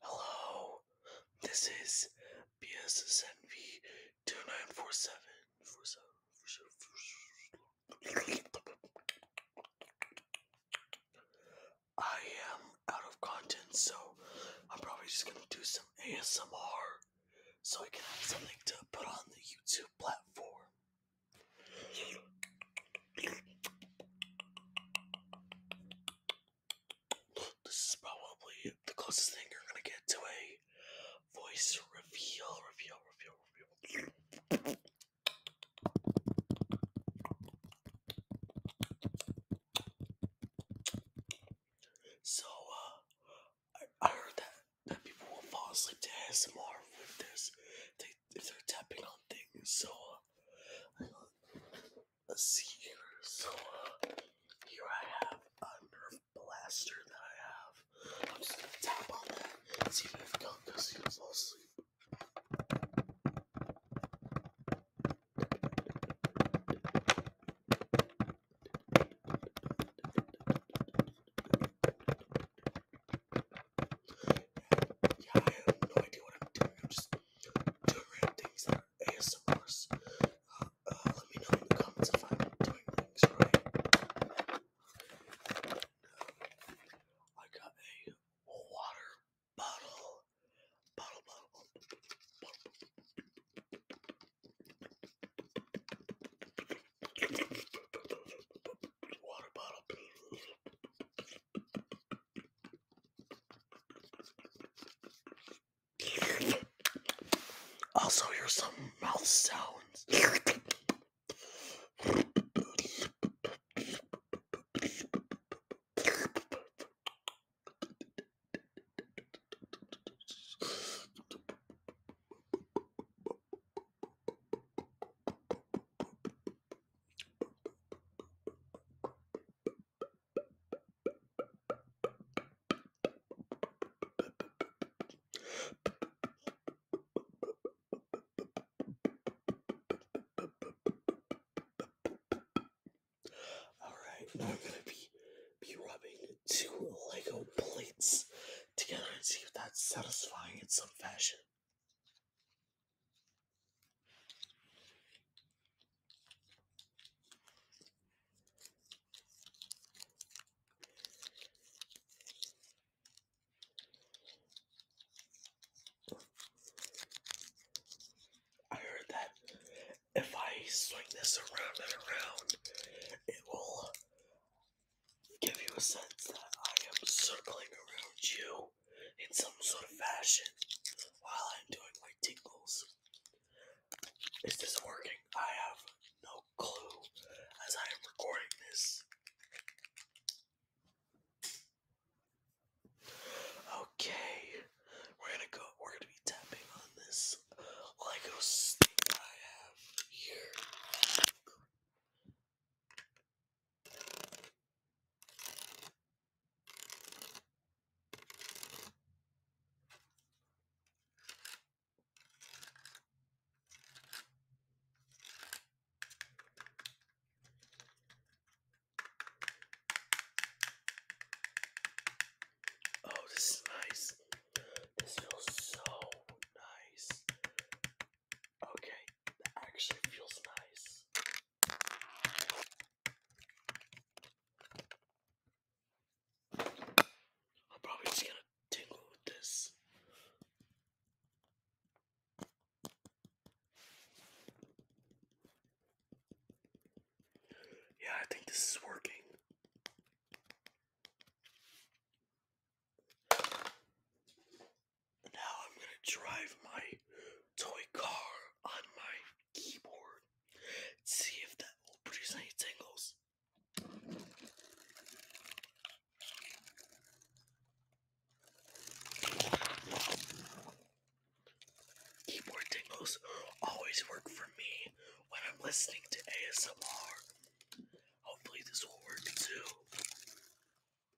Hello, this is BSSNV 2947. I am out of content, so I'm probably just gonna do some ASMR so I can have something to put on the YouTube platform. This is probably the closest thing you're gonna get to a voice reveal, reveal, reveal, reveal. So, uh, I, heard that, that people will fall asleep to ASMR if, there's, they, if they're tapping on things, so, uh, Let's So here I have a Nerf blaster that I have. I'm just gonna tap on that. See if Gunga seems all asleep. Yeah, I have no idea what I'm doing. I'm just doing things that are ASMRs. Uh, uh, let me know in the comments if I'm doing things right. I got a water bottle. Bottle, bottle, bottle. Water bottle. Also, here's some mouth sounds. All right, now I'm gonna be be rubbing two Lego plates together and see if that's satisfying in some fashion. I heard that if I swing this around and around, it will give you a sense that I am circling around you in some sort of fashion while I'm doing my tingles. Is this working? I have no clue as I am recording this. Okay, we're gonna go. We're gonna be tapping on this Lego stick I have here. Oh, this is nice. This feels so nice. Okay, that actually feels nice. I'm probably just gonna tingle with this. Yeah, I think this is working. Now I'm gonna drive my toy car on my keyboard. See if that will produce any tingles. Keyboard tingles always work for me when I'm listening to ASMR. Hopefully, this will too.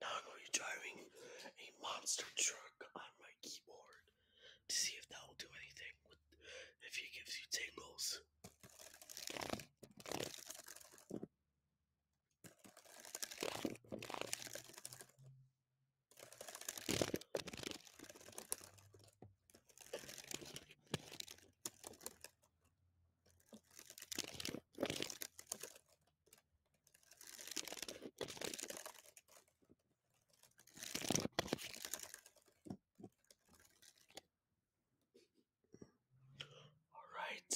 now I'm going to be driving a monster truck on my keyboard to see if that will do anything if he gives you tingles. Alright,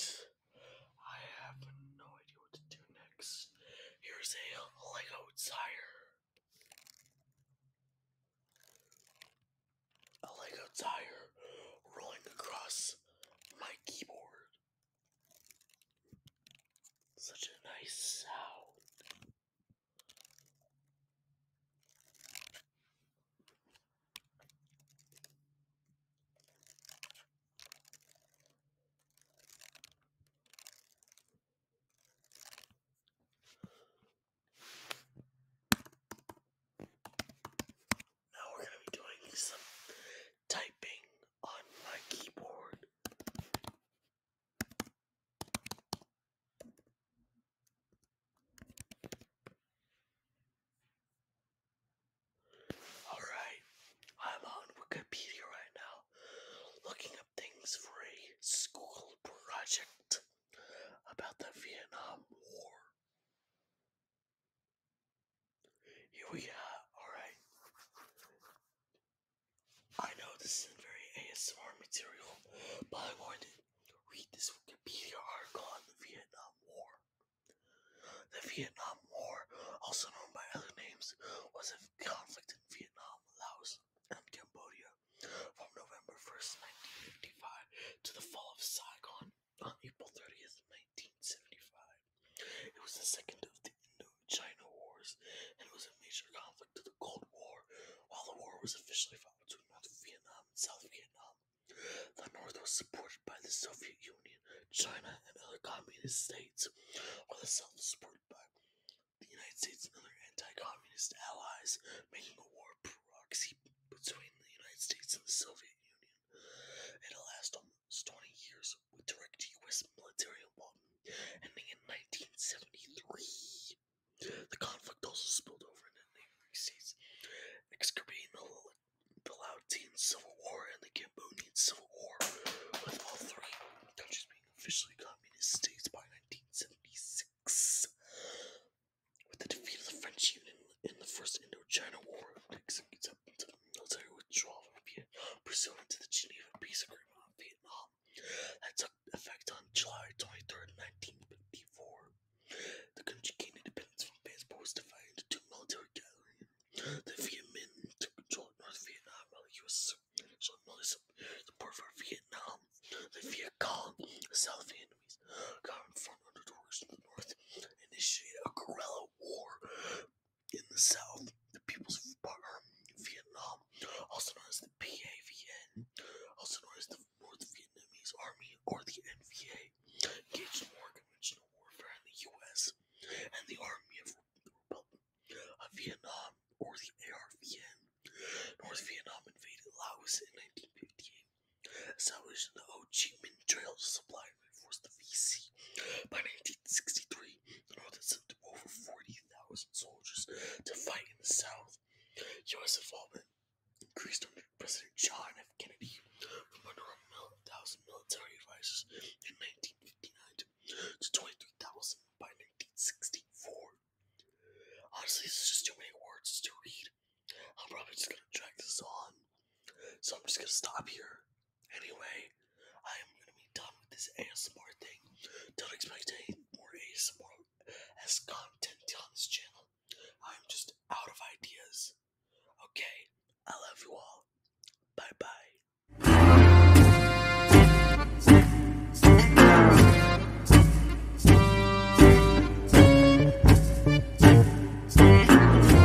I have no idea what to do next. Here's a Lego tire. A Lego tire rolling across my keyboard. Such a nice sound. Now we're going to be doing some typing on my keyboard. Alright, I'm on Wikipedia right now, looking up things for a school project about the Vietnam War. Here we go. Alright. I know this is very ASMR material, but I wanted to read this Wikipedia article on the Vietnam War. The Vietnam War, also known by other names, was a conflict in Vietnam, Laos, and Cambodia from November 1, 1955 to the fall of Saigon on April 30, 1975. It was the second of the Indo-China Wars and was a major conflict of the Cold War. While the war was officially fought between North Vietnam and South Vietnam, the North was supported by the Soviet Union, China, and other communist states, while the South was supported by the United States and other anti-communist allies, making a war proxy between the United States and the Soviet Union. it lasted. 20 years with direct U.S. military involvement, ending in 1973. The conflict also spilled over into the neighboring states, exacerbating the, Laotian Civil War and the Cambodian Civil War, with all three countries being officially communist states by 1976. With the defeat of the French Union in the First Indochina War, acceptance military withdrawal from Vietnam pursuant to the Geneva Peace Agreement of Vietnam that took effect on July twenty third, 1954. The country gained independence from France but was divided into two military galleries. The Viet Minh took control of North Vietnam while the U.S. supported military support for Vietnam. The Viet Cong, South Vietnamese, got in front of the doors to the North initiated a guerrilla war in the South, the People's Vietnam, also known as the PAVN, also known as the North Vietnamese Army or the NVA, engaged in more conventional warfare in the U.S. and the Army of the Republic of Vietnam or the ARVN. North Vietnam invaded Laos in 1958, establishing the Ho Chi Minh Trail to supply forced the VC. By 1963, the North had sent over 40,000 soldiers to fight in the South. U.S. involvement increased under President John F. Kennedy from under 1,000 military advisors in 1959 to 23,000 by 1964. Honestly, this is just too many words to read. I'm probably just gonna drag this on, so I'm just gonna stop here. Anyway, I am gonna be done with this ASMR thing. Don't expect any more ASMR as content on this channel. I'm just out of ideas. Okay, I love you all. Bye bye.